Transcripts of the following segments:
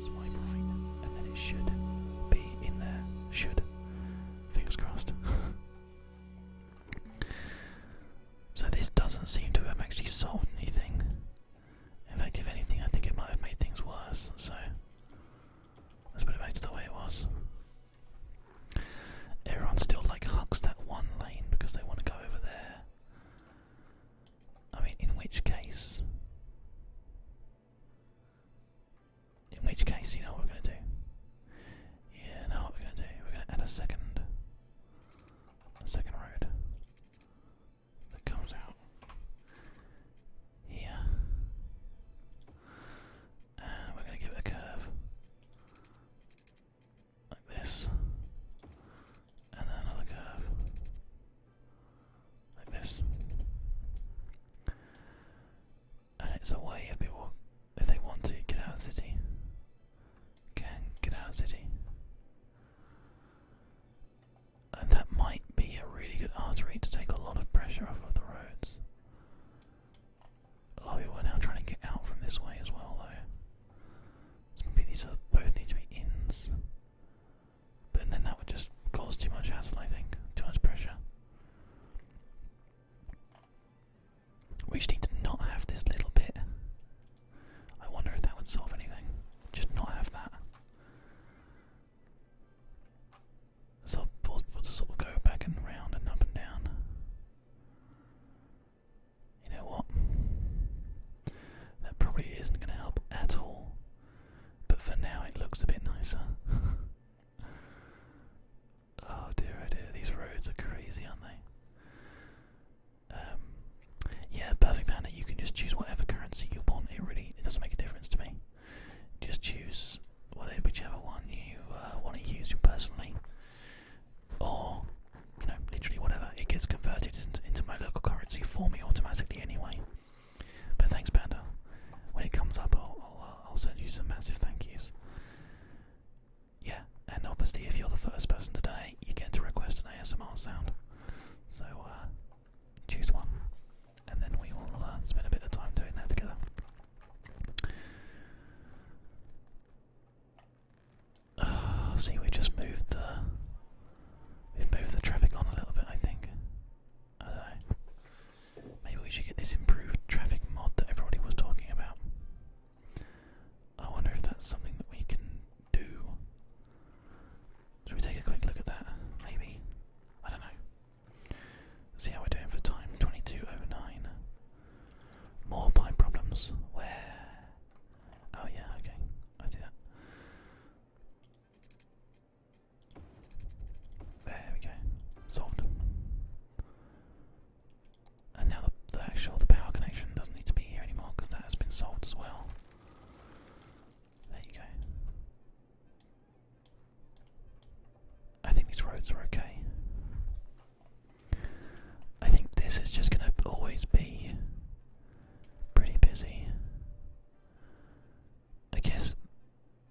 Swipe right, and then it should be in there. Should. Fingers crossed. so this doesn't seem to have actually solved anything. In fact, if anything, I think it might have made things worse. So let's put it back to the way it was. Everyone still like hugs that one lane because they want to go over there. I mean, in which case, in which case, you know what we're gonna do. Yeah, know what we're gonna do. We're gonna add a second, a second road that comes out here, and we're gonna give it a curve. Like this. And then another curve. Like this. And it's a way if people, if they want to get out of city, can get out of city. And that might be a really good artery to take a lot of pressure off of the roads. Oh, we are now trying to get out from this way as well, though. So maybe these are both need to be ins. But then that would just cause too much hassle, I think. Too much pressure. We just need to not have this little bit. I wonder if that would solve anything. Just not have that. So we to sort of go back and round and up and down. You know what? That probably isn't going to help at all, but for now it looks a bit nicer. oh dear, oh dear, these roads are crazy, aren't they? Um, yeah, Perfect Panda, you can just choose whatever currency you want. It really it doesn't make a difference to me. Just choose whatever, whichever one you uh, want to use personally or you know, literally whatever. It gets converted into, my local currency for me automatically anyway. But thanks, Panda. When it comes up, uh, I'll, send you some massive thank yous. Yeah, and obviously, if you're the first person today, you get to request an ASMR sound. So uh, choose one, and then we will uh, spend a bit of time doing that together. see, we just moved the we've moved the traffic on a little bit. I think. Maybe we should get this improved traffic mod that everybody was talking about. I wonder if that's something that we can do. Should we take a quick look at that? Maybe. I don't know see how we're doing for time. twenty two over oh nine. More pie problems. Where? Oh, yeah, okay. I see that. There we go. Solved. And now the actual the power connection doesn't need to be here anymore because that has been solved as well. There you go. I think these roads are okay. I think this is just going to always be pretty busy. I guess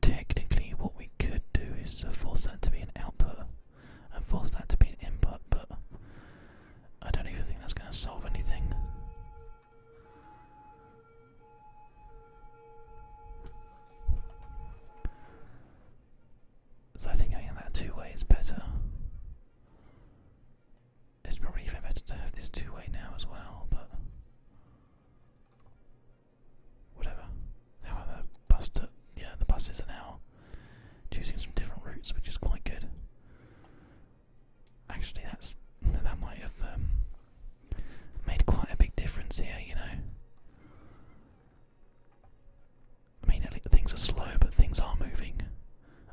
technically what we could do is force that to be an output and force that to be an input, but I don't even think that's going to solve anything. So I think going that two way is better. It's probably even better to have this two way now as well, but whatever. However, bus to, yeah, the buses are now choosing some different routes, which is quite good. Actually, that's that might have um, made quite a big difference here, you know. I mean, things are slow, but things are moving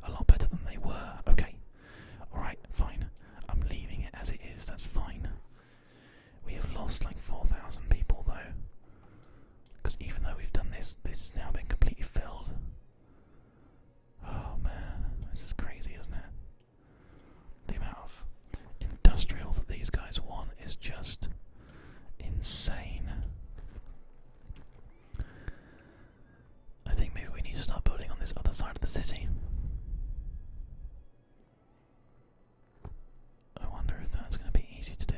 a lot better than they were. Okay, alright, fine. I'm leaving it as it is, that's fine. We have lost like 4,000 people though. Because even though we've done this, this has now been completely filled. Oh man, this is crazy, isn't it? The amount of industrial that these guys want is just insane. I think maybe we need to start building on this other side of the city. I wonder if that's going to be easy to do.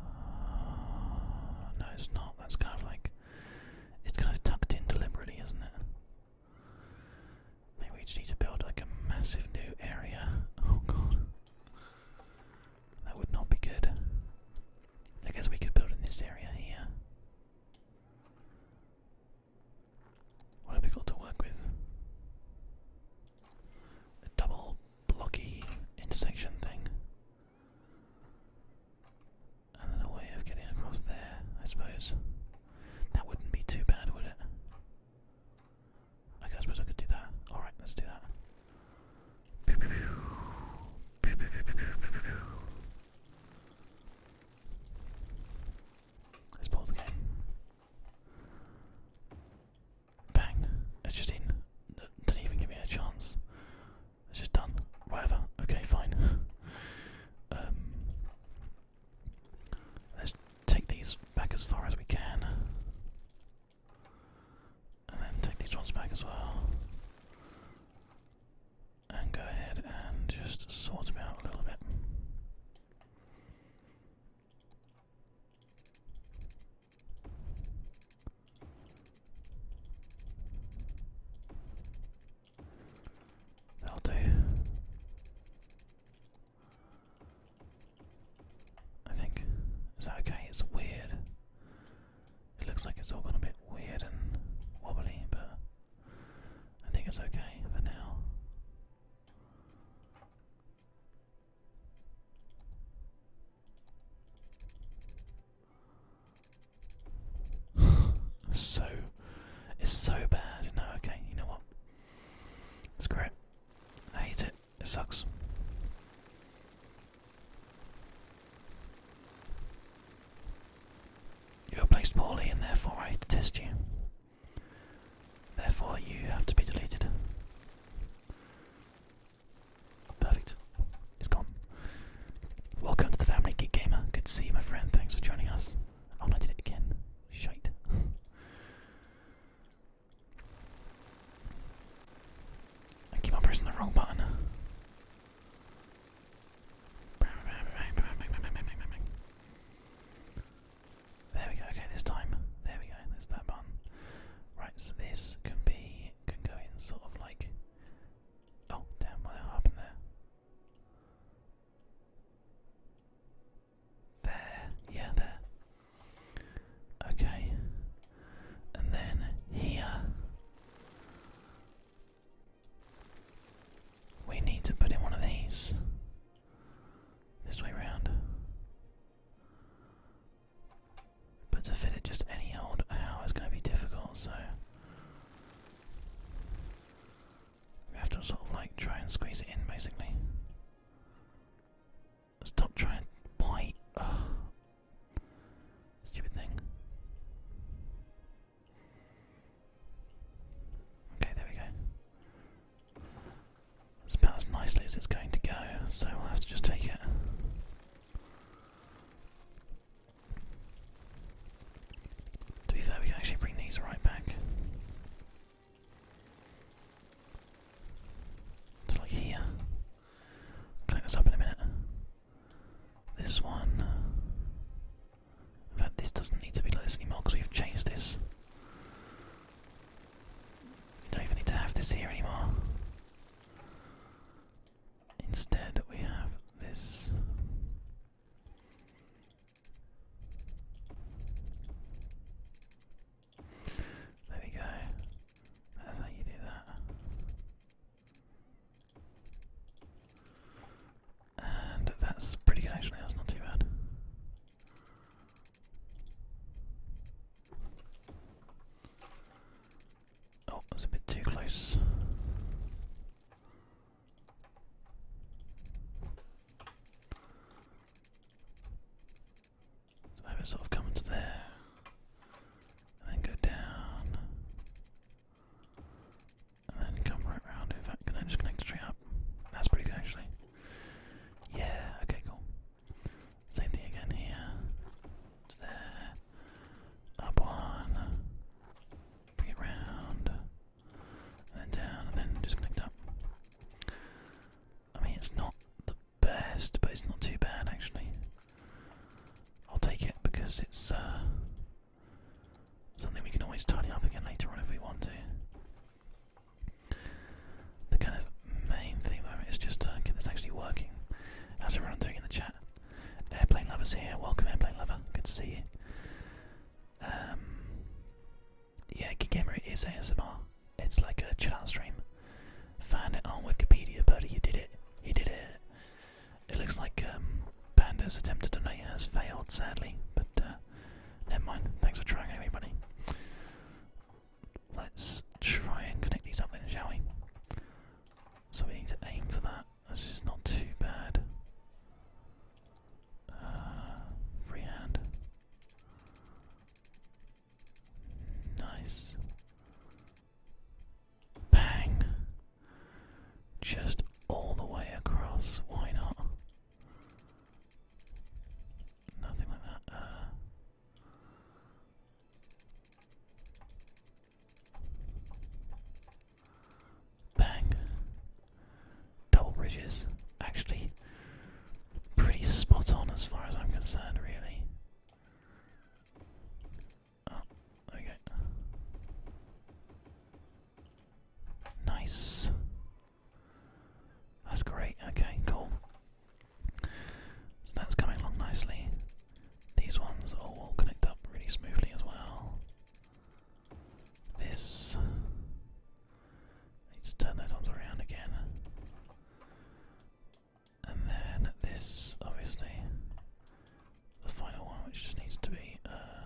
Uh, no, it's not. That's kind of like. It's kind of tucked in deliberately, isn't it? Maybe we just need to build like a massive new area. Oh god. That would not be good. I guess we could build in this area here. What have we got to work with? A double blocky intersection thing. And then a way of getting across there, I suppose. That wouldn't be too bad, would it? Okay, I suppose I could do that. Alright, let's do that. Let's pause the Bang! It's just in. Didn't even give me a chance. It's just done. Whatever. Okay, fine. Um, Let's take these back as far as we can. And then take these ones back as well. And go ahead and just sort them out a little bit. That'll do. I think. Is okay? It's weird. It looks like it's all gone a bit weird and wobbly, but I think it's okay for now. so it's so bad. No, okay, you know what? Screw it. I hate it. It sucks. You are placed poorly and therefore I to test you. Therefore you have to be deleted. Perfect. It's gone. Welcome to the family, Geek Gamer. Good to see you, my friend. Thanks for joining us. Oh, I did it again. Shite. I keep on pressing the wrong button. There we go. Okay, this time. There we go. There's that button. Right, so this can be can go in sort of like. Oh damn! What happened there? There, yeah, there. Okay. And then here. We need to put in one of these. This way round. But to fit it just any old how is going to be difficult, so. We have to sort of like try and squeeze it in basically. Stop trying to Stupid thing. Okay, there we go. It's about as nicely as it's going to go, so we'll have to just take it. To be fair, we can actually bring these right back like here. Connect this up in a minute. This one. In fact, this doesn't need to be like this anymore because we've changed this. You don't even need to have this here anymore. Instead, we have this. There we go. That's how you do that. And that's pretty good actually, that's not too bad. Oh, that's a bit too close. So maybe sort of come to there and then go down and then come right round. In fact, can I just connect the tree up? That's pretty good actually. Yeah, okay, cool. Same thing again here. there. Up one. Bring it round and down, and then disconnect that. I mean, it's not the best, but it's not too bad actually. I'll take it because it's uh, something we can always tidy up again later on if we want to. The kind of main thing though is just uh, get this actually working. How's everyone doing in the chat? Airplane lovers here. Welcome, airplane lover. Good to see you. Um, yeah, Gigamer is ASMR. It's like a chill out stream. Find it on Wikipedia, buddy. You did it. You did it. It looks like um, Panda's attempt to donate has failed, sadly. But uh, never mind. Thanks for trying anyway, buddy. Let's try and connect these up then, shall we? So we need to aim for that. That's just not too bad. Uh, Nice. Bang. Just all the way across. Why not? Nothing like that. Uh, bang. Double bridges, actually, pretty spot on as far as I'm concerned, really. Oh, okay. Nice. That's great. Okay, cool. So that's coming along nicely. These ones all connect up really smoothly as well. This I need to turn those ones around again. And then this, obviously, the final one, which just needs to be uh,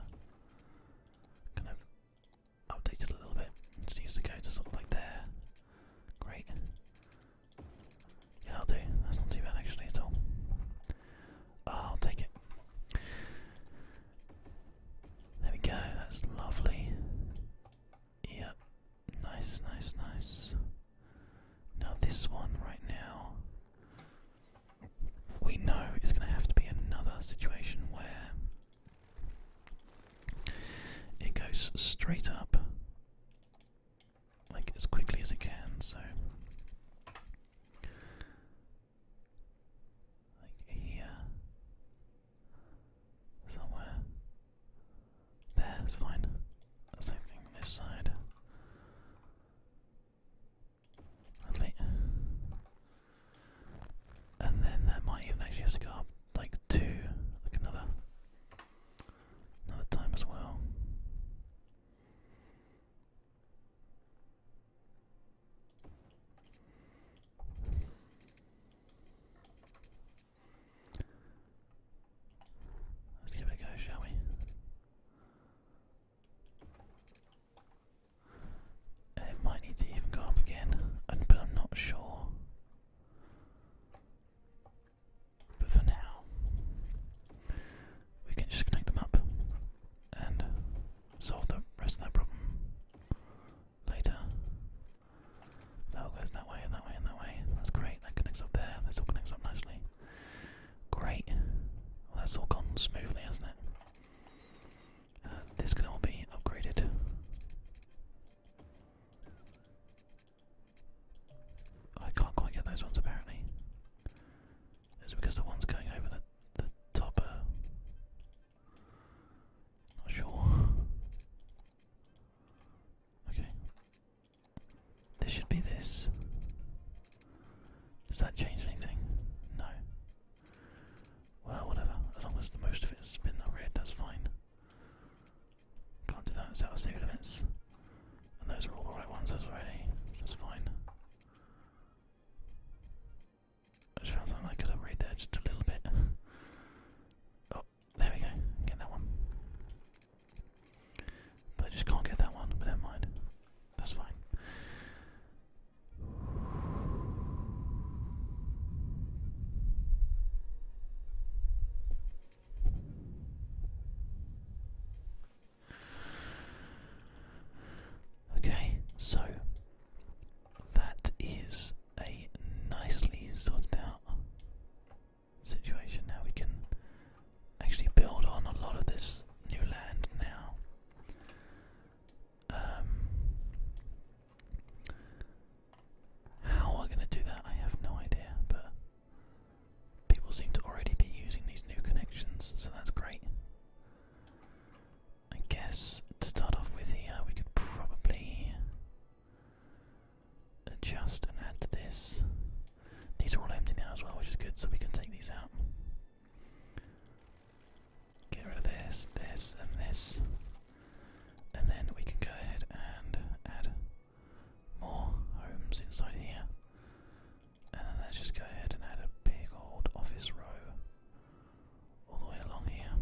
kind of updated a little bit. It just needs to go to sort of like there. Great. Yeah, I'll do. That's not too bad actually at all. Ah, I'll take it. There we go, that's lovely. Yeah. nice, nice, nice. Now, this one right now, we know is going to have to be another situation where it goes straight up like as quickly as it can, so like here Somewhere. There, it's fine. Same thing on this side. And then that might even actually have to go up like two, another another time as well. Let's give it a go, shall we? it might need to even go up again, but I'm not sure. But for now, we can just connect them up and solve the rest of that problem later. That goes that way and that way and that way. That's great. That connects up there. This all connects up nicely. Great. that's all gone smoothly, hasn't it? Uh, this can all be upgraded. I can't quite get those ones apparently. It's because the ones going over the the top not sure. Okay. This should be this. Does that change anything? No. Well, whatever. As long as the most of it's been upgraded, that's fine. Can't do that, it's out limits. And those are all the right ones already, that's fine. I just found something I could upgrade there just a little bit. oh, there we go. Get that one. But I just can't get that one, but never mind. That's fine. Okay, so that is a nicely sorted out situation. Now we can actually build on a lot of this new land now. Um, how are we going to do that, I have no idea, but people seem to already be using these new connections, so that's great. I guess to start off with here, we could probably adjust and add to this. These are all empty now as well, which is good, so we can take these out. Get rid of this, this, and this. And then we can go ahead and add more homes inside here. And then let's just go ahead and add a big old office row all the way along here.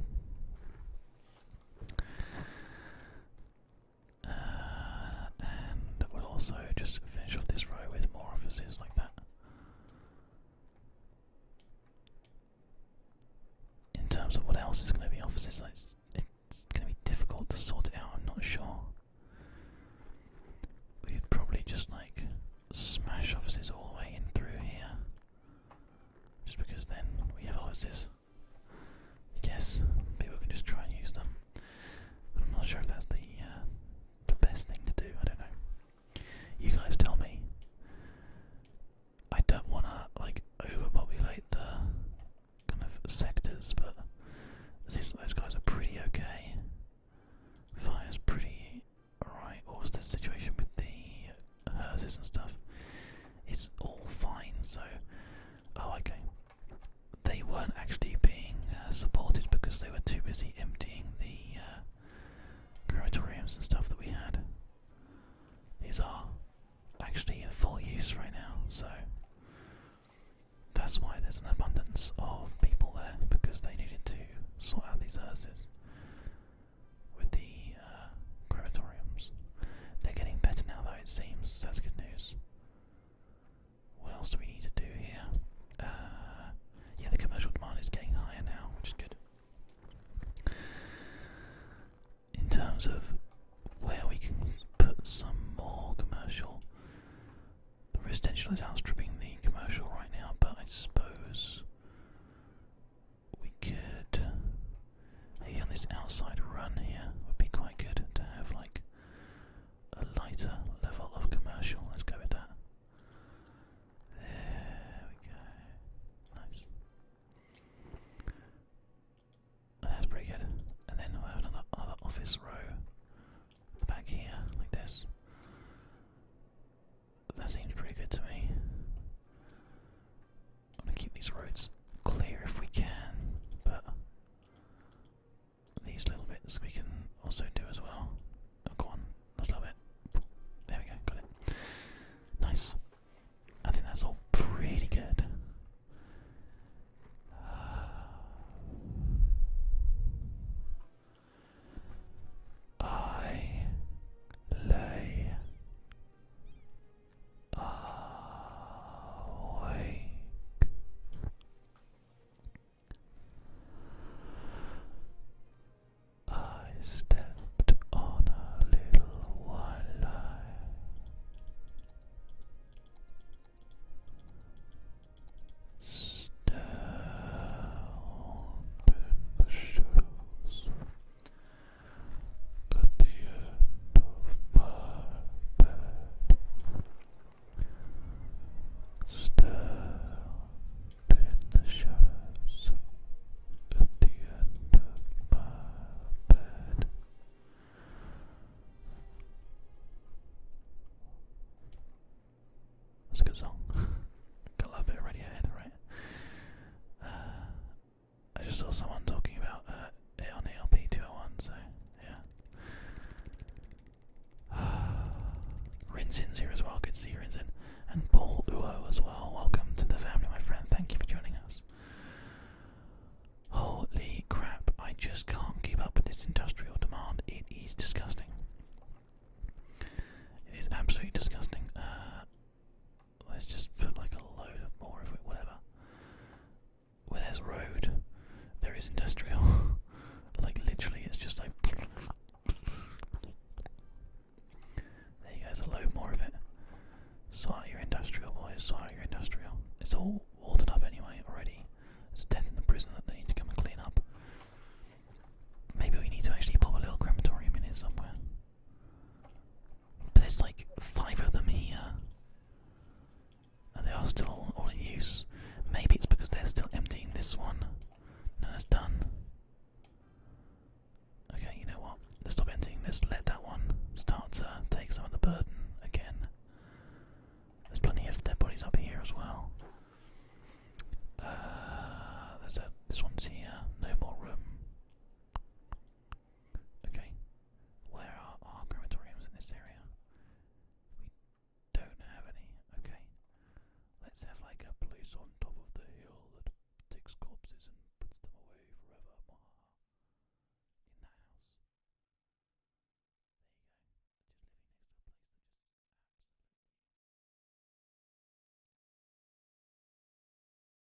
Uh, and we'll also just finish off this row with more offices like that. In terms of what else is going to be offices, it's, it's going to be difficult to sort it out, I'm not sure. We could probably just like smash offices all the way in through here. Just because then we have hoses. Yes, people can just try and use them. But I'm not sure if that's the uh, the best thing to do. I don't know. You guys tell me. I don't want to like overpopulate the kind of sectors, but it seems like those guys are pretty okay. Fire's pretty alright. What situation with the hers is and stuff. It's all fine, so. Oh, okay. They weren't actually being uh, supported because they were too busy emptying the uh, and stuff that we had. These are actually in full use right now, so that's why there's an abundance of people there because they needed to sort out these houses with the uh, crematoriums. They're getting better now, though, it seems. That's good news. What else do we need to do here? Uh, yeah, the commercial demand is getting higher now, which is good. In terms of where we can put some more commercial, the residential is outstripping the commercial right now, but I suppose we could maybe this outside run here would be quite good to have like a lighter level of commercial. Let's go with that. There we go. Nice. That's pretty good. And then we have another other office row back here, like this. That seems pretty good to me. I'm gonna keep these roads clear if we can, but these little bits we can also do as well. Oh, on, let's love it. There we go, got it. Nice. I think that's all pretty good. I lay awake. I stepped on a little white lie. Stared in the shadows at the end of my bed. Stare in the shadows at the end of my bed. That's a good song. Got a little bit ahead, right? Uh, I just saw someone talking about uh, 201, so yeah. Rinzin's here as well, good to see you, And Paul Uo as well, welcome to the family, my friend, thank you for joining us. Holy crap, I just can't keep up with this industrial demand, it is disgusting. It is absolutely disgusting. Uh, let's just put like a load of more of it, whatever. Where there's road, there is industrial. like literally, it's just like. There you go, a load more of it. Sort your industrial, boys, sort your industrial. It's all watered up anyway already. There's a death in the prison that they need to come and clean up. Maybe we need to actually pop a little crematorium in here somewhere. But there's like five of them here. And they are still all, in use. Maybe it's because they're still emptying this one. No, it's done. Okay, you know what? Let's stop emptying. Let's let that one start to take some of the burden again. There's plenty of dead bodies up here as well. Uh, there's a, this one's here. No more room. Okay, where are our crematoriums in this area? We don't have any. Okay, let's have like a place on top of the hill that takes corpses and puts them away forever. In the house. There you go. Just living next to a place